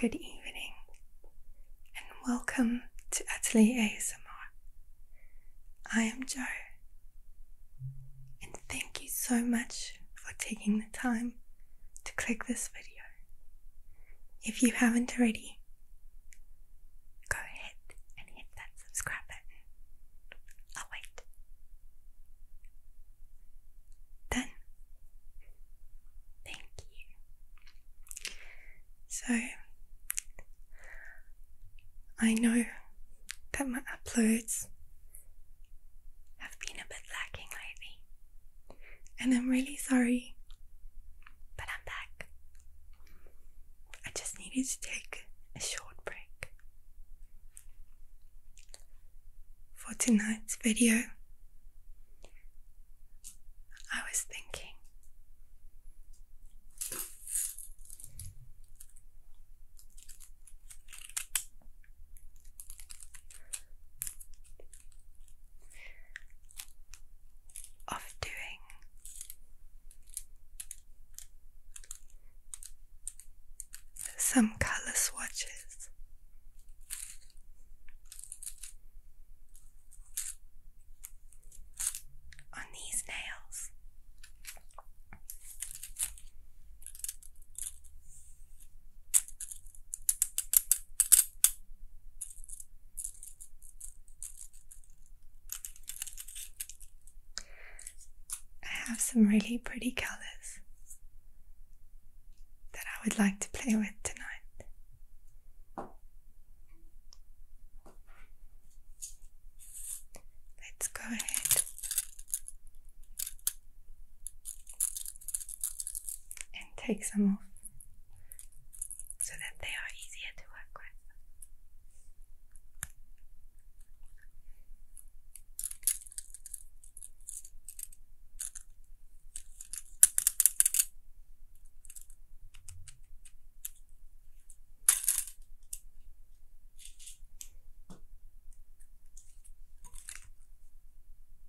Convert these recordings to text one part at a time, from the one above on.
Good evening and welcome to Utterly ASMR. I am Joe and thank you so much for taking the time to click this video. If you haven't already, go ahead and hit that subscribe button. I'll oh, wait. Done. Thank you. So, I know that my uploads have been a bit lacking lately. And I'm really sorry. But I'm back. I just needed to take a short break. For tonight's video, I was thinking of doing some color swatches. On these nails, I have some really pretty colors that I would like to play with tonight. Let's go ahead and take some off so that they are easier to work with.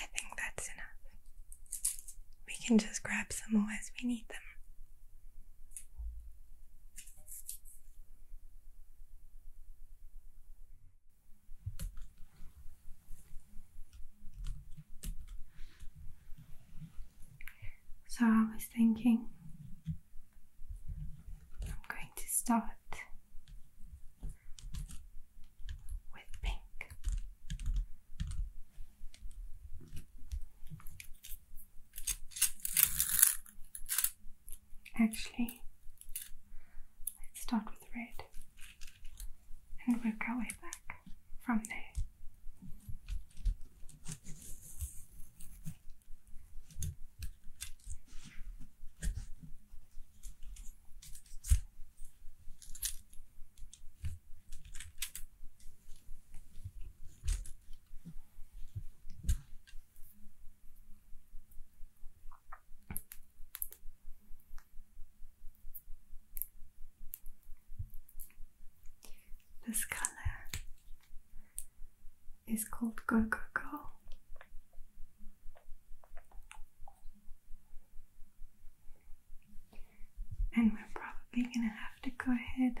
I think that's enough. We can just grab some more as we need them. So I was thinking I'm going to start with pink. Actually, let's start with red and work our way back from there. This color is called Go Go Go and we're probably gonna have to go ahead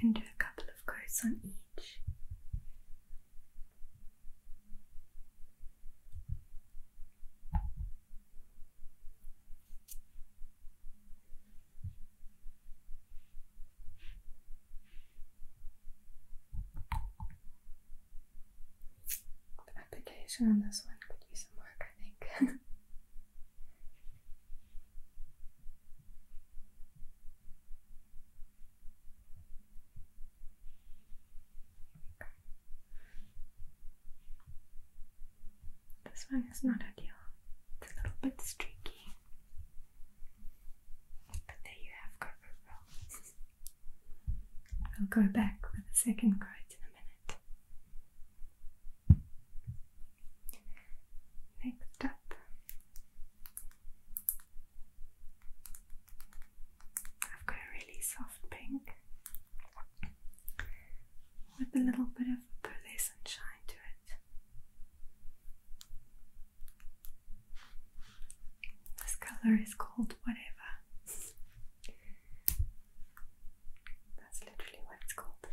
and do a couple of coats on each. The application on this one could use some work, I think. This one is not ideal. It's a little bit streaky. But there you have Coco I'll go back with a second quote in a minute. Next up, I've got a really soft pink with a little bit of pearlescent shine to it. This color is called whatever. That's literally what it's called.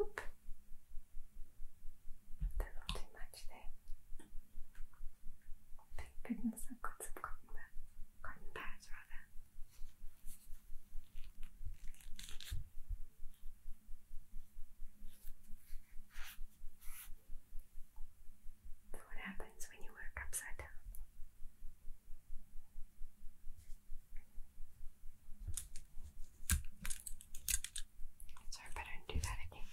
Oop. That's not too much there. Thank goodness I've got some cotton, cotton pads rather. That's what happens when you work upside down. Sorry, but do that again.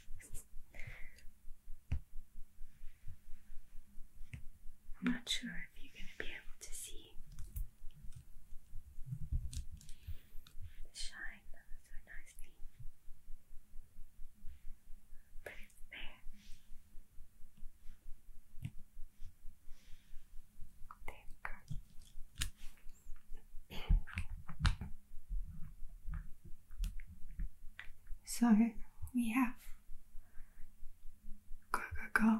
I'm not sure if you're going to be able to see the shine so nicely, but it's there. There we go. So we have go, go, go,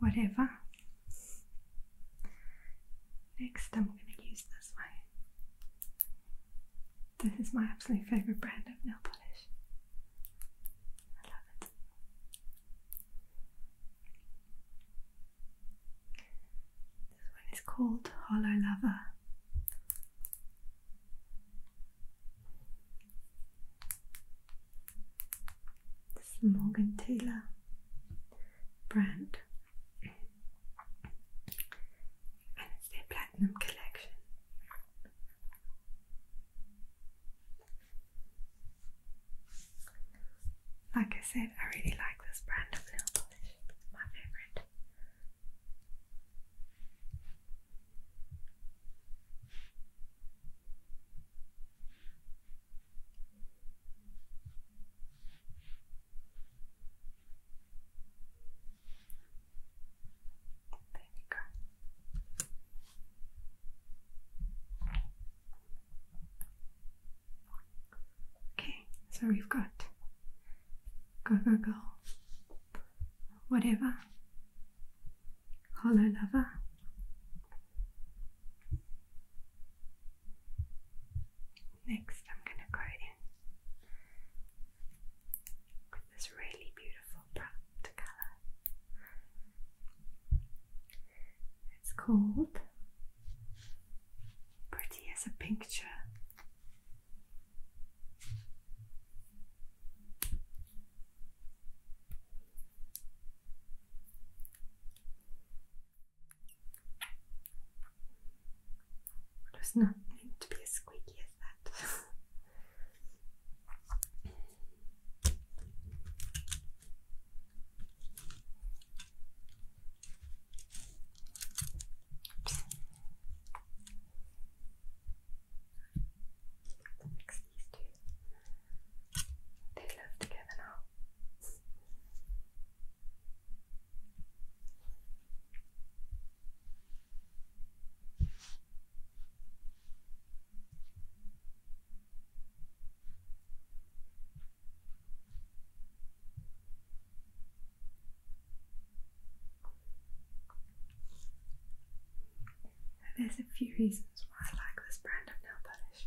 whatever. Next, I'm going to use this one. This is my absolute favorite brand of nail polish. I love it. This one is called Hollow Lover. This Morgan Taylor brand, and it's their platinum collection. Like I said, I really like this brand of nail polish, my favorite. There you go. Okay, so we've got go go go whatever Hollow Lover. Next, I'm going to go in with this really beautiful bright colour. It's called Pretty as a Picture. It was not meant to be as squeaky as that. Mix these two. They live together now. And there's a few reasons why I like this brand of nail polish.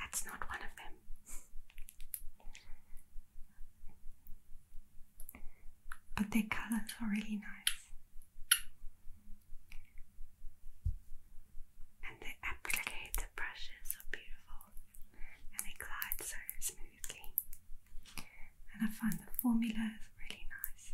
That's not one of them. But their colours are really nice. And the applicator brushes are beautiful and they glide so smoothly and I find the formula is really nice.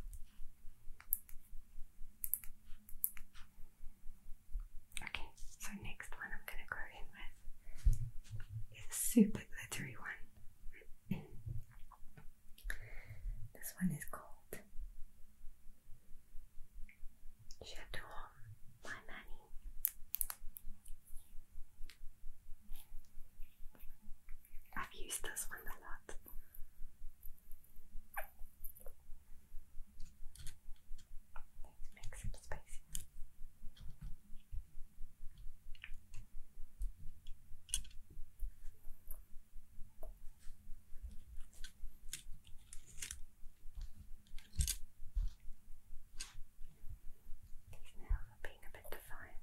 Okay, so next one I'm going to go in with is a super glittery one. this one is called J'adore my money. I've used this one a lot. Let's make some space. These nails are being a bit defiant.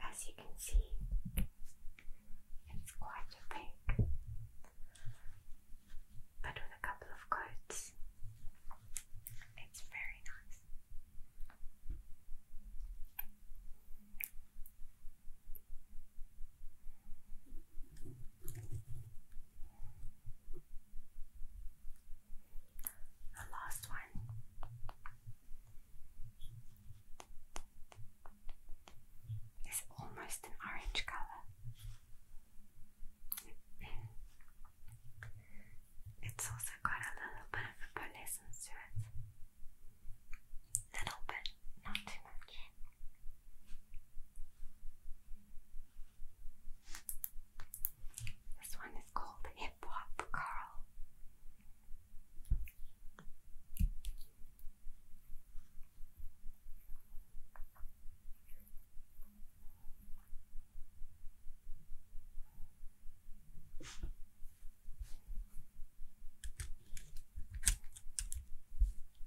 As you can see, it's quite a pink, but with a couple of coats, it's very nice. The last one. It's almost an orange color. It's also got a little bit of a pearlescence to it. Little bit, not too much. This one is called Hip Hop Carl.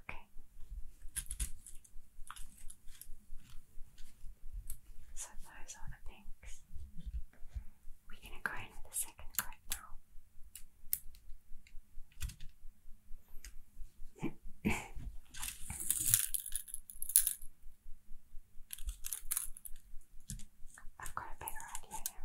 Okay. So those are the pinks. We're going to go in the second clip now. I've got a better idea now.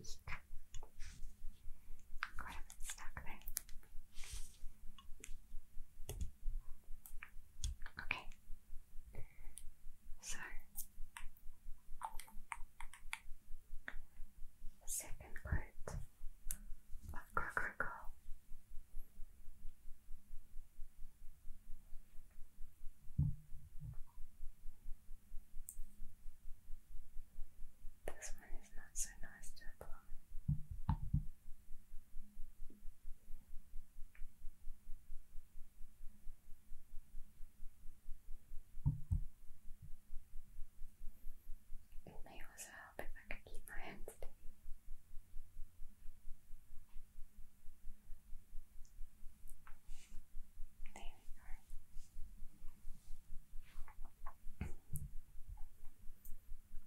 Eek. Quite a bit stuck there. Okay. So the second part of Crocodile this one is not so nice to apply. It may also help if I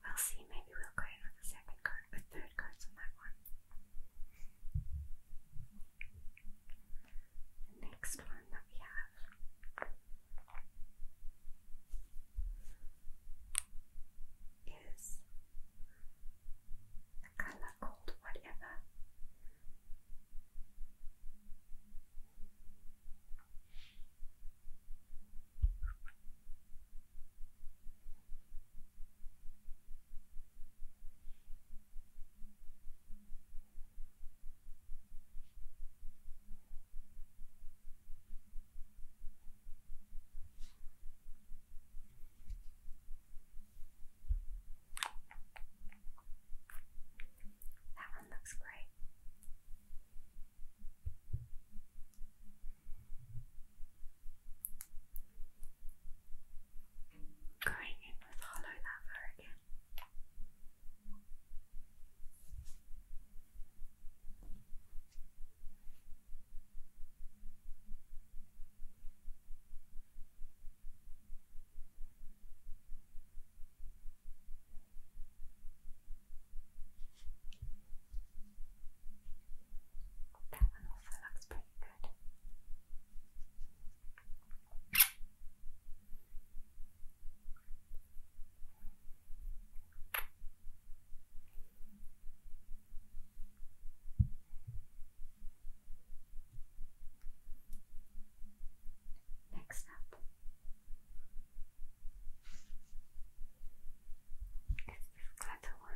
will see, maybe we'll go in with a second coat, with third coats on that one. next one that we have is a color called whatever. That one looks great. Going in with hollow lava again. That one also looks pretty good. Next up is this glitter one.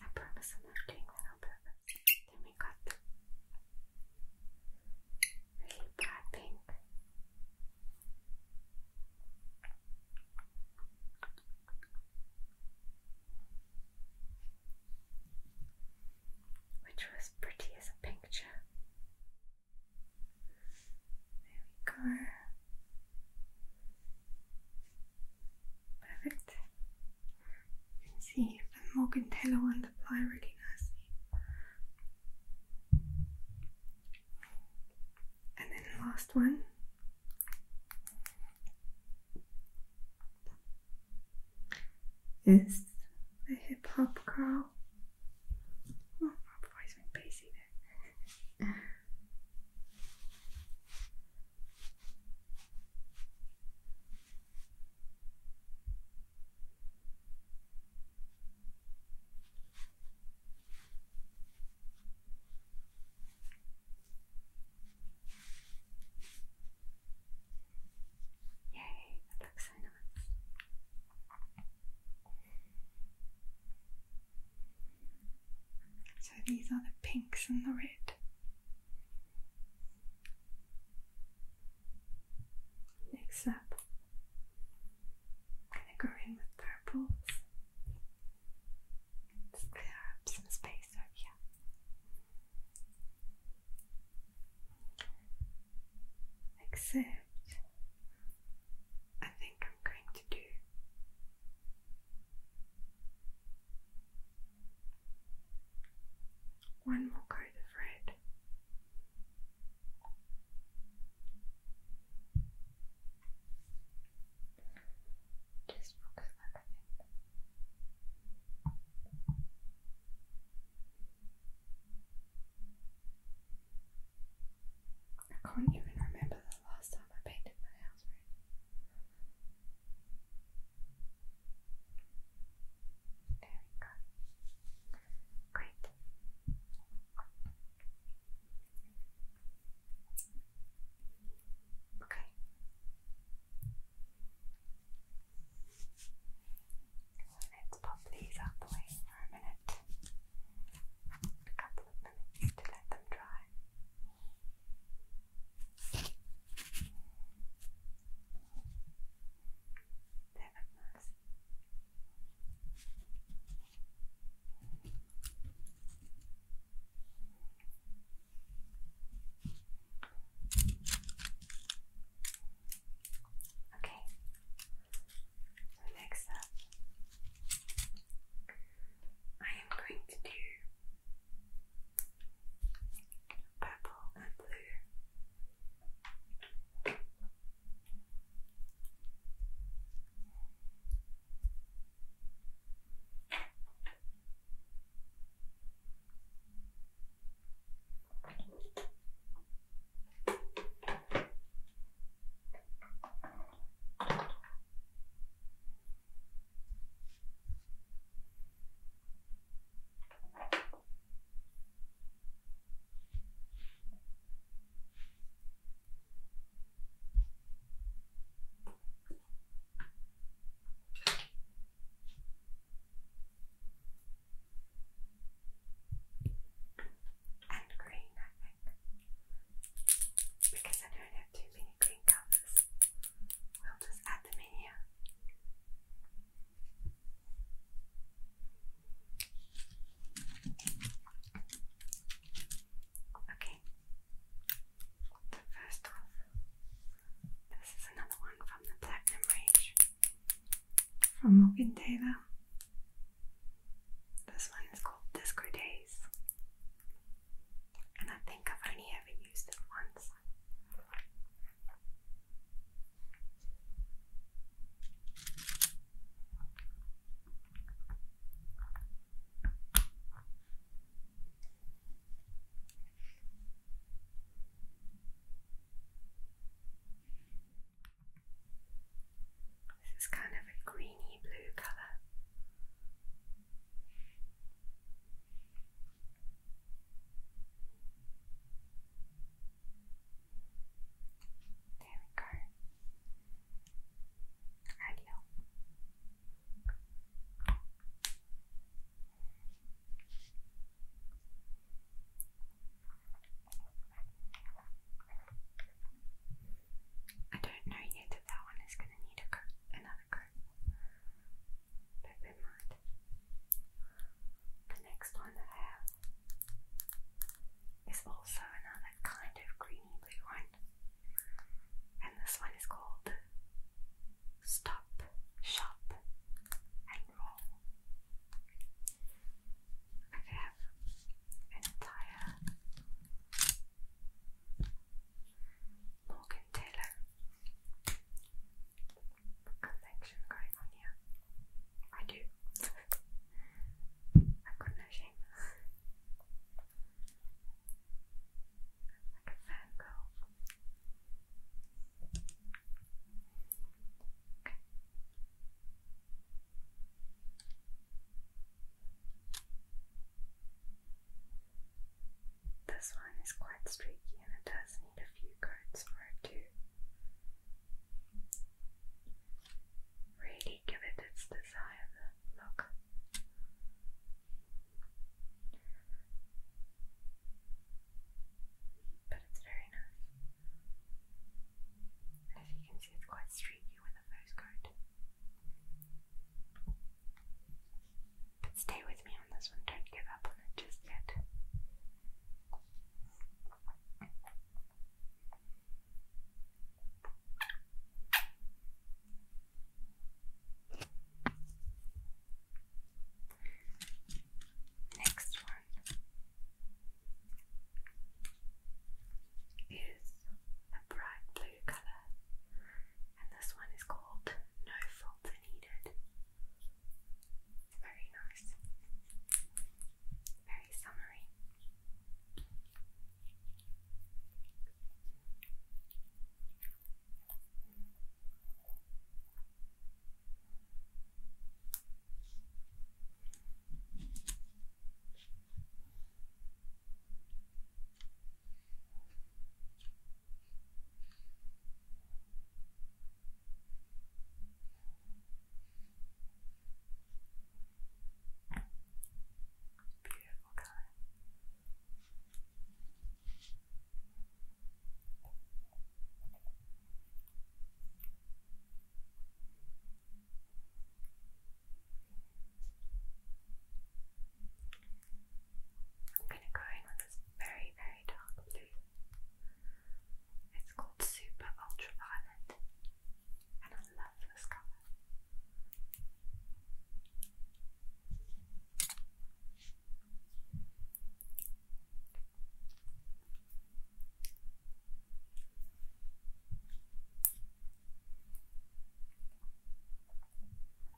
I promise I'm not doing that on purpose. Then we got the really bright pink. Which was pretty as a picture. There we go. Perfect. You can see the Morgantello on the ply really nicely. And then last one. Is the hip hop curl? Oh, my voice went Yay, that looks so nice. So these are the pinks and the red. Next up, I'm going to go in with purples. Let's clear up some space over here. Except, I think I'm going to do. One more coat of red. Just focus on everything. I can't even remember the last time time I painted my house red. There we Great. Okay. Let's pop these out the way for a minute. A couple of minutes to let them dry. Telemaz. Okay, next up, I am going to do purple and blue. And green, I think, because I don't too many, green colors. We'll just add them in here. Okay, so first off, this is another one from the Platinum range from Morgan This one is called Disco Days and I think I've only ever used it once. This is kind of a greeny blue colour. There we go. Ideal. I don't know yet if that one is going to need another darker. Bear in mind. The next one I have is also another kind of greeny blue one, and this one is called Stop, Shop, and Roll. I have an entire Morgan Taylor collection going on here. I do. I've got no shame. Like a fan girl. This one is quite streaky and it does need a few coats for it to really give it its desired look. But it's very nice. As you can see, it's quite streaky with the first coat. But stay with me on this one, don't give up on it just yet. Next one is a bright blue colour, and this one is called no folds needed. Very nice. Very summery. Beautiful color. Beautiful. I'm gonna go in with this very, very dark blue. It's called Super Ultraviolet, and I love this color. I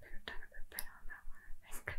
could have done a bit better on that one, I think.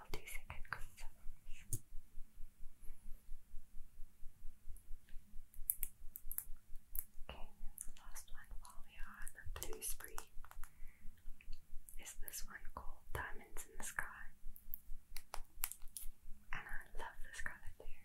I'll Okay, last one while we are on the blue spree is this one called Diamonds in the Sky. And I love this colour too.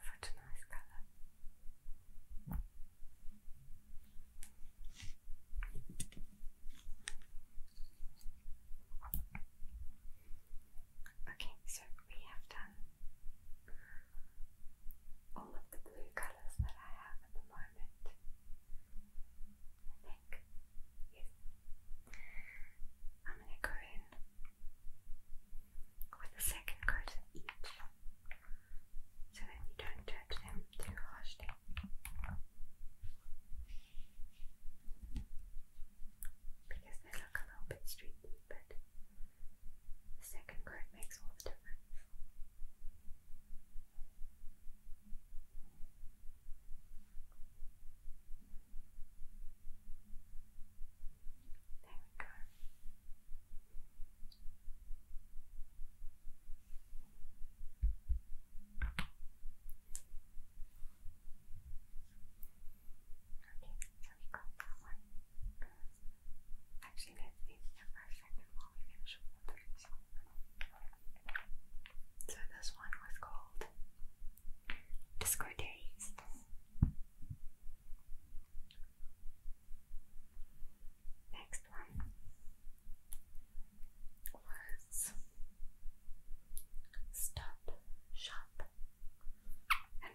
Such a nice colour. Okay, so we have done all of the blue colours that I have at the moment like. I'm going to go in with a second coat each so that you don't touch them too harshly. Because they look a little bit streaky, but the second coat makes all the difference. There we go. Okay, so we got one. Actually, let's do step by we finish all the So this one was called Discord Aries. Next one was Stop, Shop, and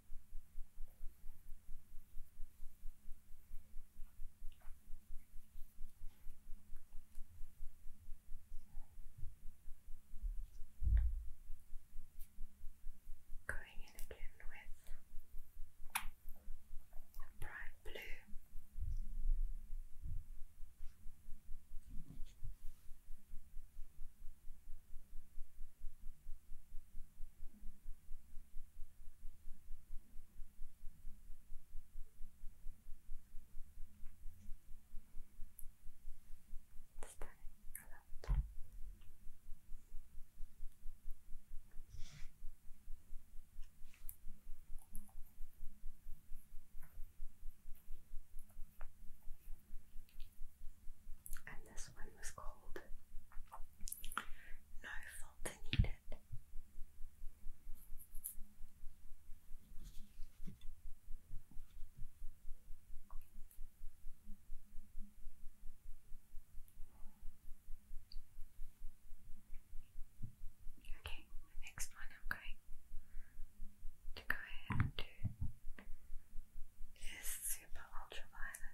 Going in again with a bright blue. Stunning. I And this one was called no fault needed. Okay, the next one I'm going to go ahead and do is super ultraviolet.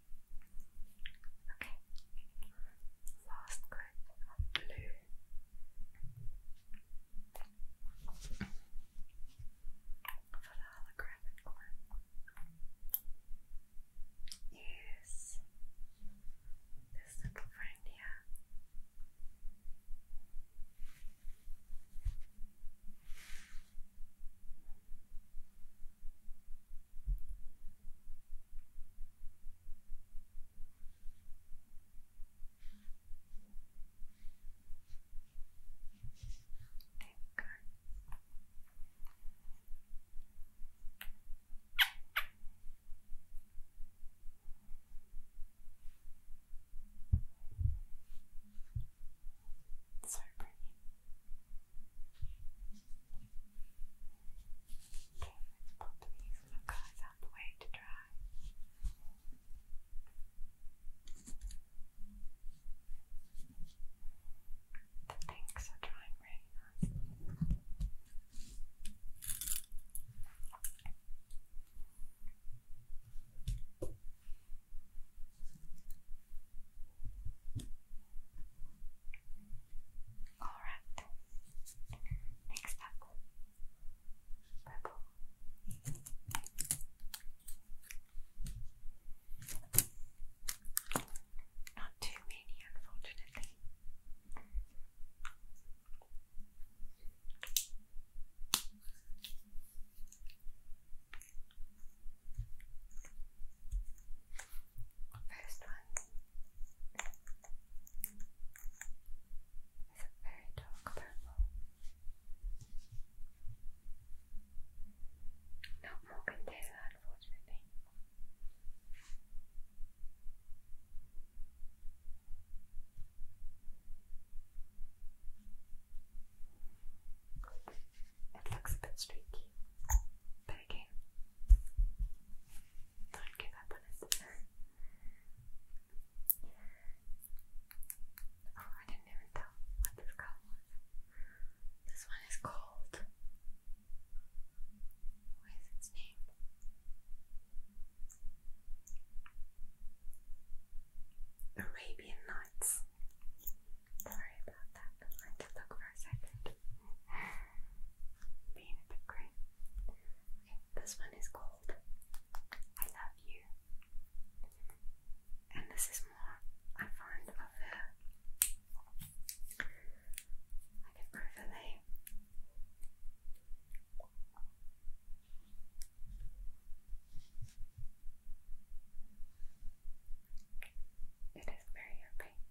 Okay. Last group of blue. For the holographic one. Yes. This little friend here go. So pretty. Okay, let's put these colors out the way to dry. The pinks are drying really nice. Alright, next up purple. Not too many, unfortunately. First one it's a very dark purple. Not more can unfortunately. It looks a bit streaky, but again, don't give up on it. I didn't even tell what this color was. This one is called. What is its name? Arabian Nights. Sorry about that. I had to look for a second. Being a bit great. Okay, this one is called I Love You. And this is more, I find, of a like an overlay. It is very opaque.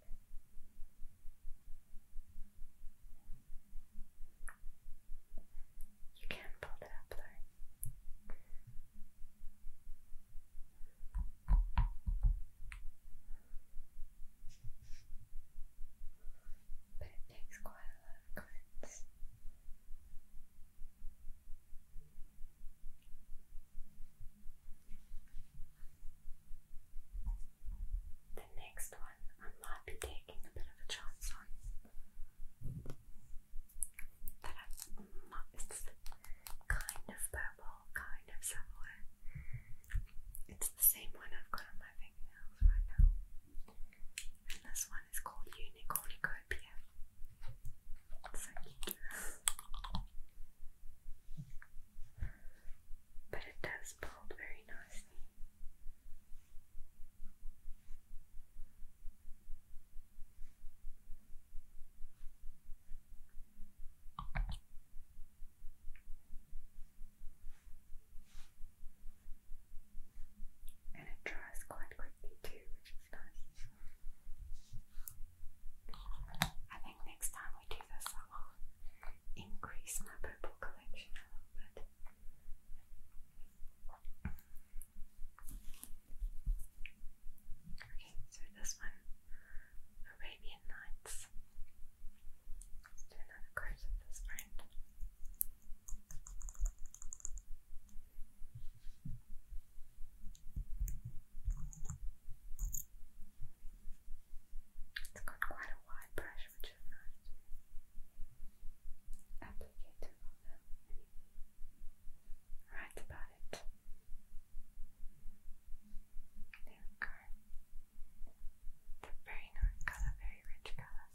You can pull it up though. But it takes quite a lot of cleanse. The next one I might be taking a bit of a chance on. That I, mm, it's kind of purple, kind of silver. It's the same one I've got on my fingernails right now. And this one is called Unicornicopia. so cute but it does fold very nicely. And it dries quite quickly too, which is nice. I think next time we do this, increase my purple collection a little bit. Okay, so this one, Arabian Nights. Let's do another coat of this brand. It's got quite a wide brush, which is nice to applicate about it. There we go. they very nice colour, very rich colours.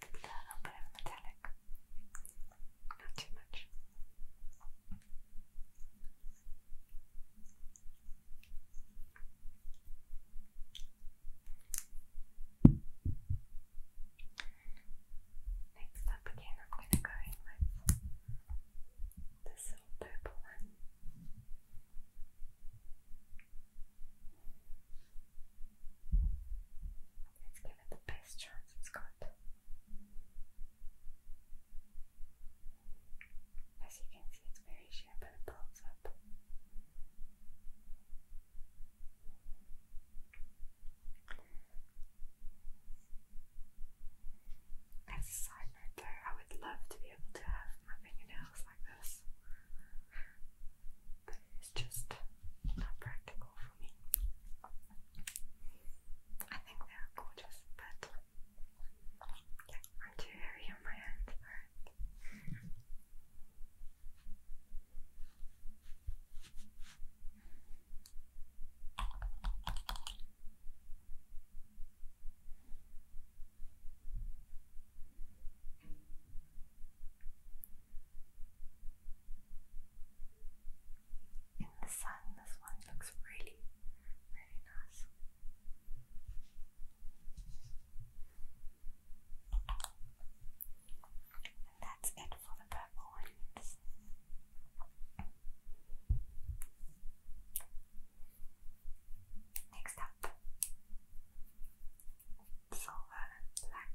With a little bit of metallic. Not too much. Next up again, I'm going to go in with this little purple one. Let's give it the best chance it's got. As you can see, it's very sharp and it pulls up. As a side note though, I would love to be able to have my fingernails like this. But it's just not practical for me. I think they are gorgeous, but yeah, I'm too heavy on my hands for in the sun. This one looks really, really nice. And that's it for the purple ones. Next up, silver black.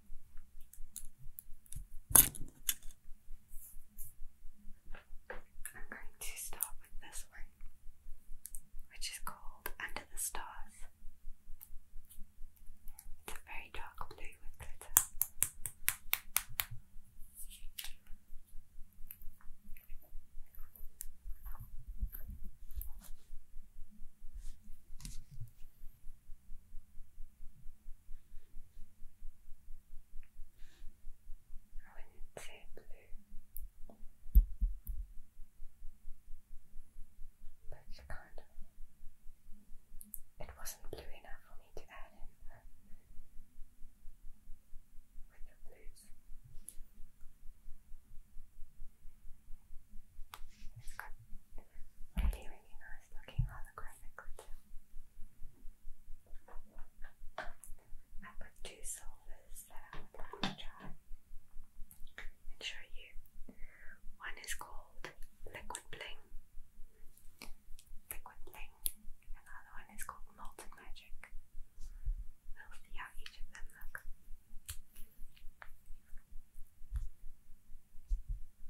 I'm going to start with this one, which is called Under the Stars. It's a very dark blue with glitter when it's say blue, but you It wasn't blue enough for me to add in uh, with the blues it really, really nice looking holographically too. I've two solvers that I would like to try and show you. One is called Liquid Bling. Liquid Bling. And the other one is called Molten Magic. We'll see how each of them look.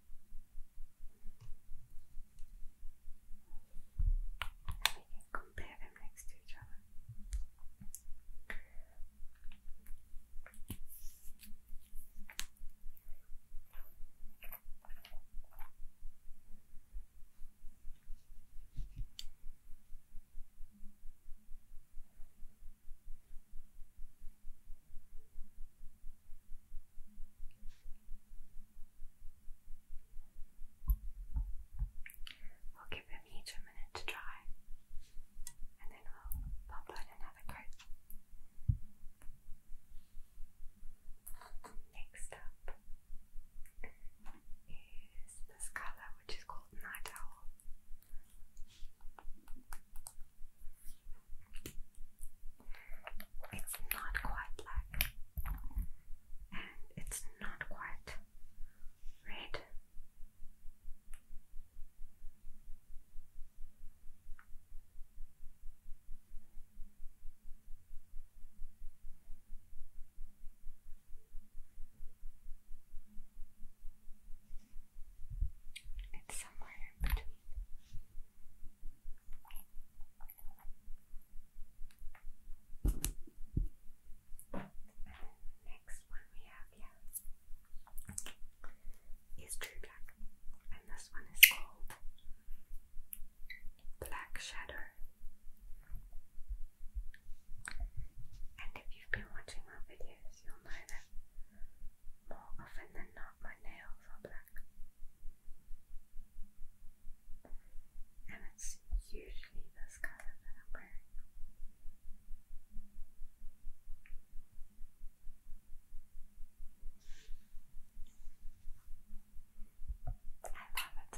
And we can compare them next to each other. We'll give them each a minute to dry and then we'll pop on another coat. Next up is this colour which is called Night Owl. It's not quite black and it's not quite red. It's somewhere in between. Next one we have here is True Black, and this one is called Black Shadow. And if you've been watching my videos, you'll know that more often than not, my nails are black. And it's usually this colour that I'm wearing. I love it.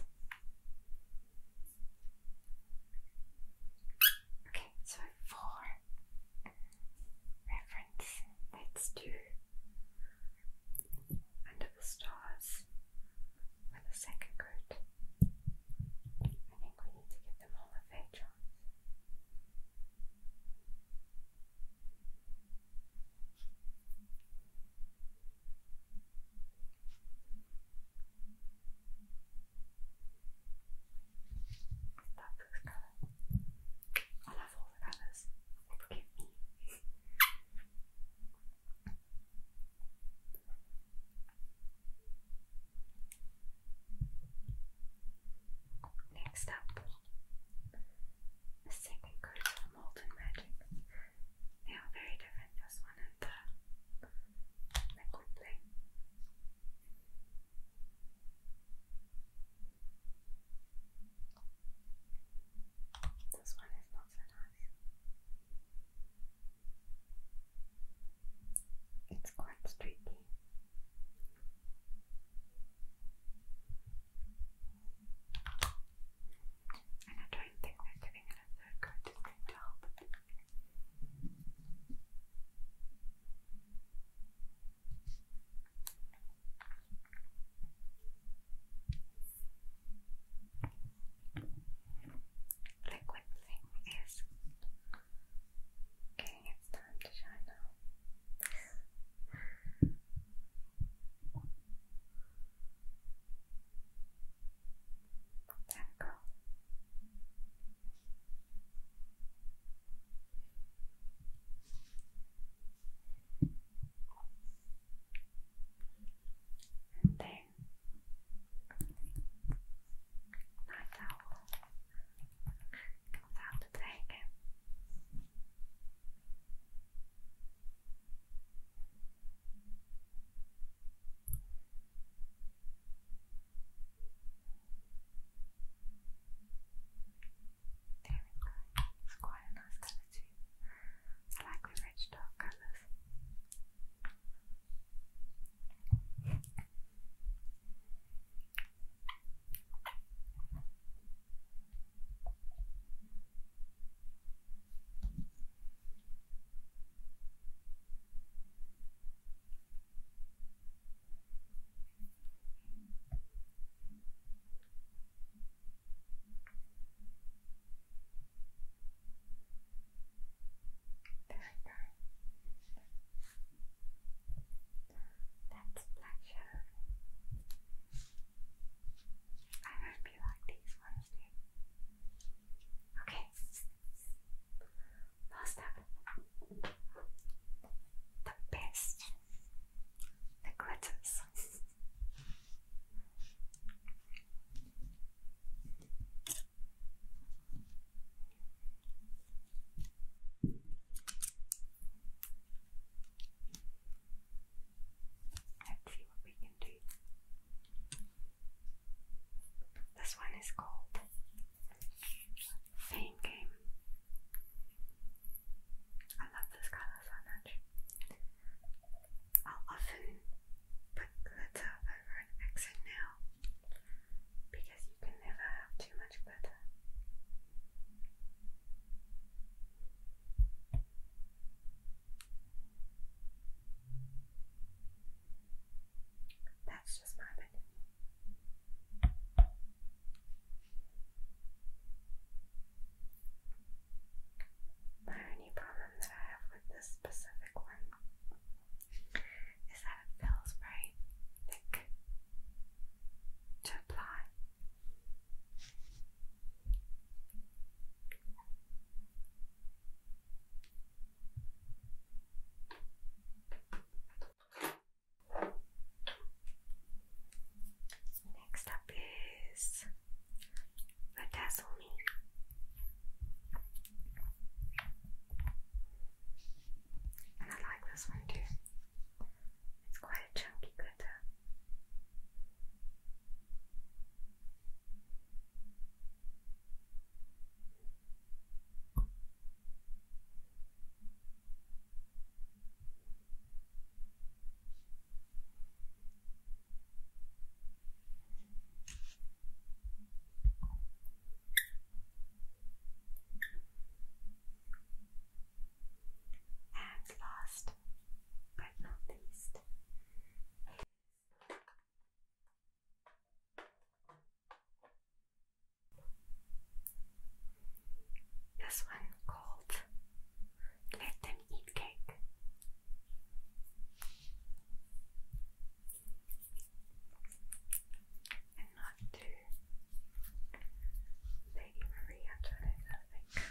Okay, so for reference. Let's do Under the Stars with a second coat. I think we need to give them all a fair chance. Love this colour. I love all the colours. Forgive me. Next up, the second coat of Magic. They are very different, this one and the liquid blend. This one is not so nice. It's quite streaky. And I don't think that giving it a third coat to help liquid thing is getting its time to shine now. There we go. And then night owl comes out to take him. There we It's quite a nice colour I like rich dark colours. There we That's Black I hope you like these ones too. Okay. Last up, the best Let's see what we can do. This one is called Pain game. I love this colour so much. I'll often put glitter over an accent now because you can never have too much glitter. That's just my opinion. The only problem that I have with this specific one is that it feels very thick to apply. Next up is Bedazzle Me. And I like this one too. It's quite a chunky glitter. And last but not least. This one called Let Them Eat Cake. And not to Lady Maria I think.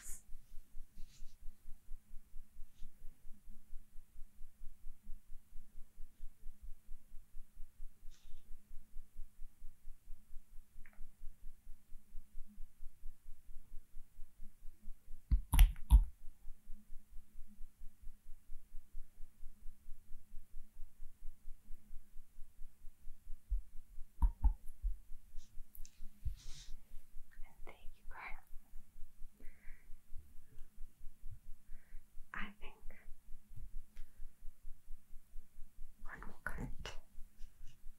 Thank you go. I think one more coat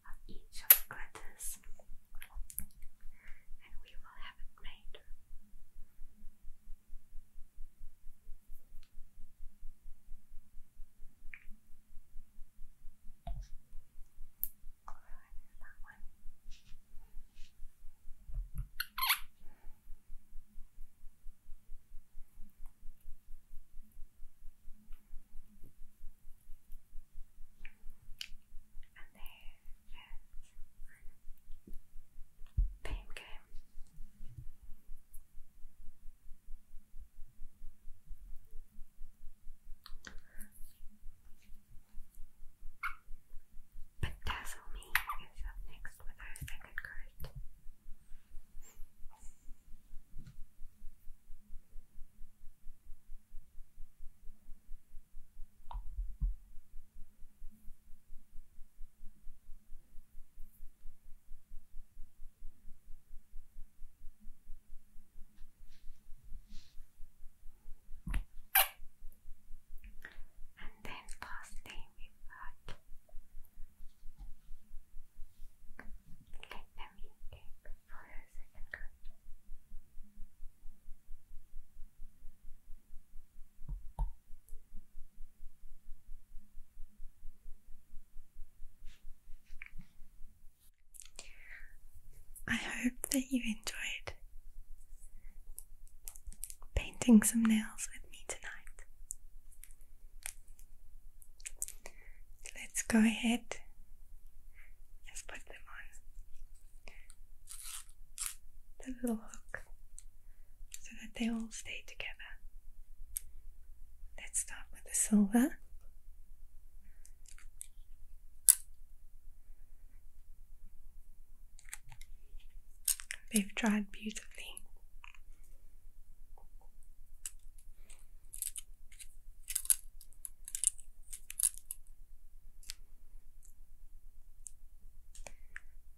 of each of the glitters, and we will have it made. That one. And there is Pam game. But Dazzle Me is up next with our second card. And then lastly we work Family cake for her second country. I hope that you enjoyed painting some nails with me tonight. Let's go ahead and put them on the little hook so that they all stay together. Let's start with the silver. They've dried beautifully.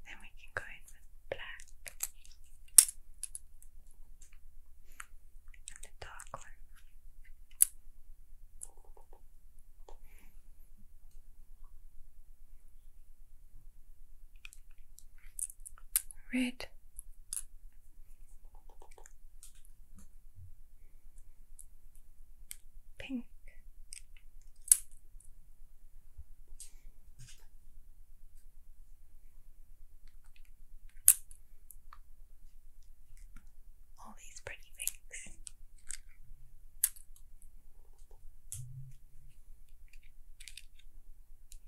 Then we can go in with black and the dark one. Red Pink. All these pretty things.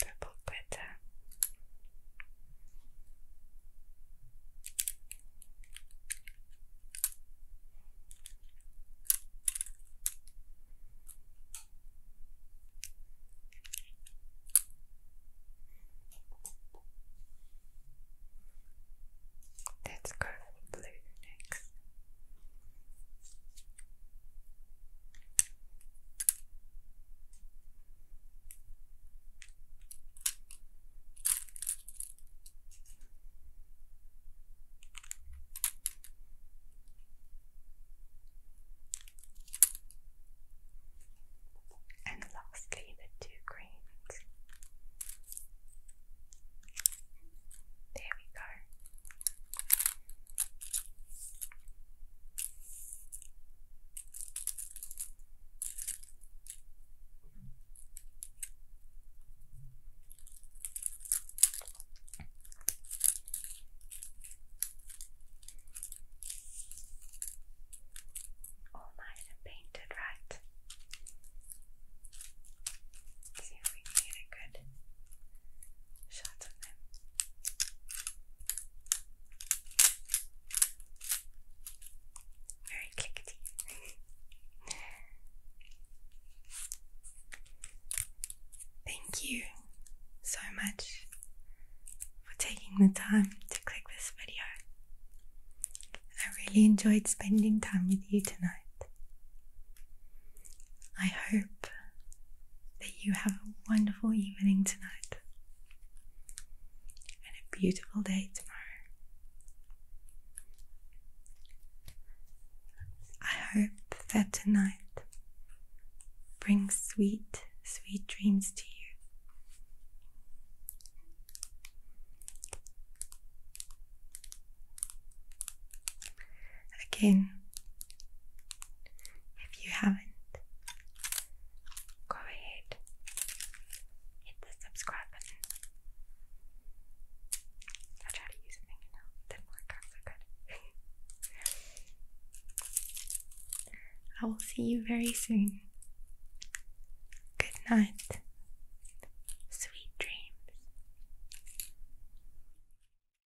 purple glitter. Let's go blue next. And lastly, the two greens. There we go. All nice painted, right? see if we can get a good shots on them. Very clickety. Thank you so much for taking the time to click this video. I really enjoyed spending time with you tonight. I hope that you have a wonderful evening tonight and a beautiful day tomorrow. I hope that tonight brings sweet, sweet dreams to you. Again, if you haven't, go ahead, hit the subscribe button. I tried to use a finger now, didn't work out so good. I will see you very soon. Good night. Sweet dreams.